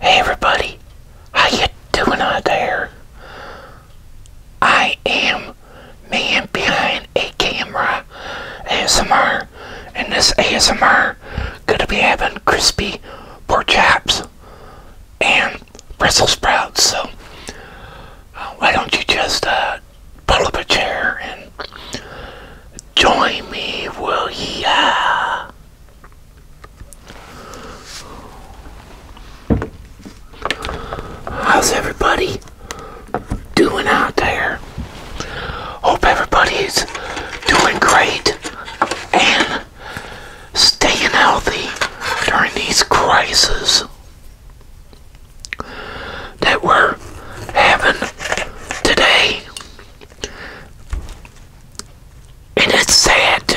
Hey everybody, how you doing out there? I am man behind a camera ASMR and this ASMR gonna be having crispy pork chops and Brussels sprouts so uh, why don't you just uh, pull up a chair and Join me, will ya? How's everybody doing out there? Hope everybody's doing great and staying healthy during these crises that we're having today. And it's sad too.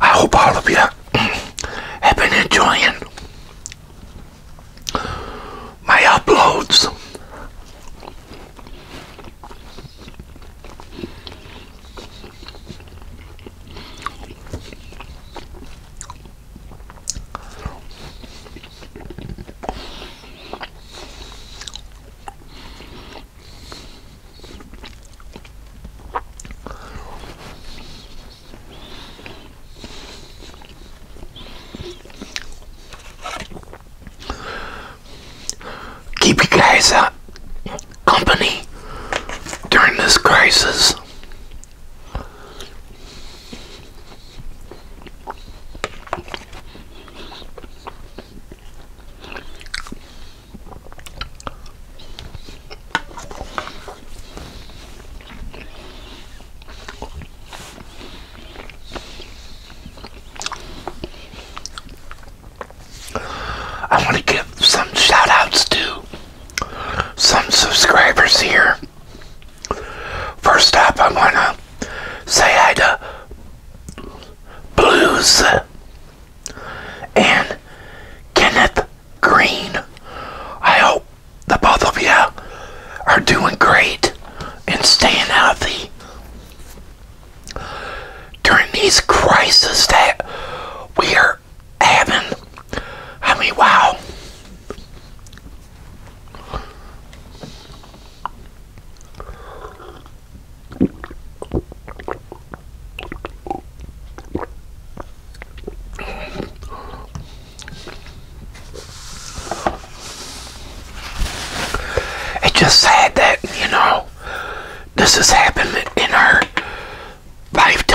I hope all of you have been enjoying my uploads. Keep you guys company during this crisis. I want to give some shout outs to some subscribers here. First up, I want to say hi to Blues and Kenneth Green. I hope the both of you are doing great and staying healthy during these crises that we are having. I mean, wow. It's just sad that, you know, this has happened in our lifetime.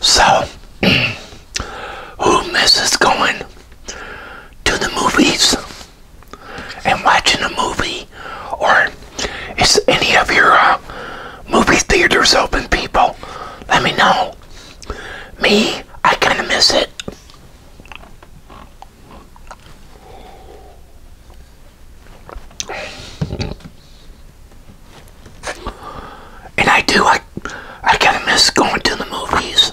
So, who misses going to the movies? and watching a movie? Or is any of your uh, movie theaters open, people? Let me know. Me, I kind of miss it. And I do, I, I kind of miss going to the movies.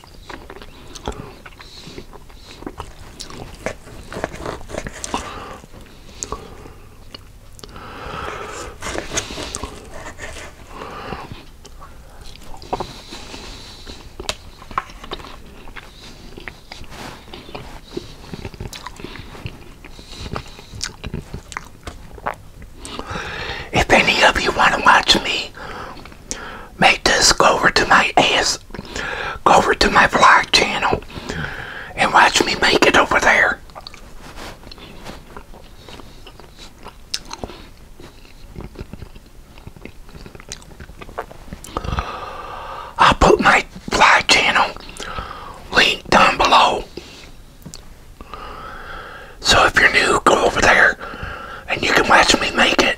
If any of you want to watch me make this go over to my ass, go over to my vlog channel, and watch me make it over there. I'll put my vlog channel link down below. So if you're new, go over there and you can watch me make it.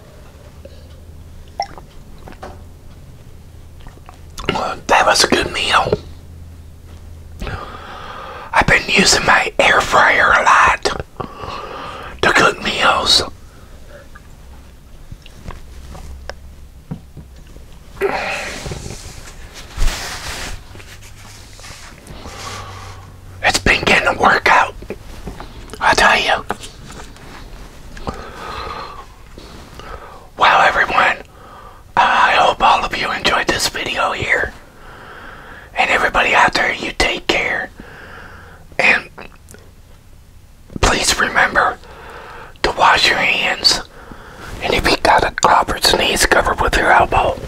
That was a good meal. I've been using my air fryer a lot to cook meals. It's been getting a workout. I tell you. Wow, everyone. I hope all of you enjoyed this video here. And everybody out there, you take care. And please remember to wash your hands. And if you got a cough or sneeze, cover with your elbow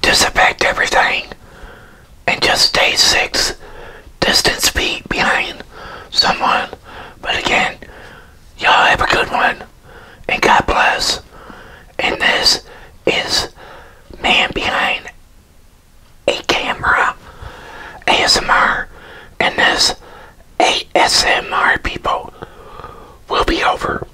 disinfect everything, and just stay six distance feet behind someone. But again, y'all have a good one, and God bless. And this is Man Behind a Camera ASMR, and this ASMR people will be over.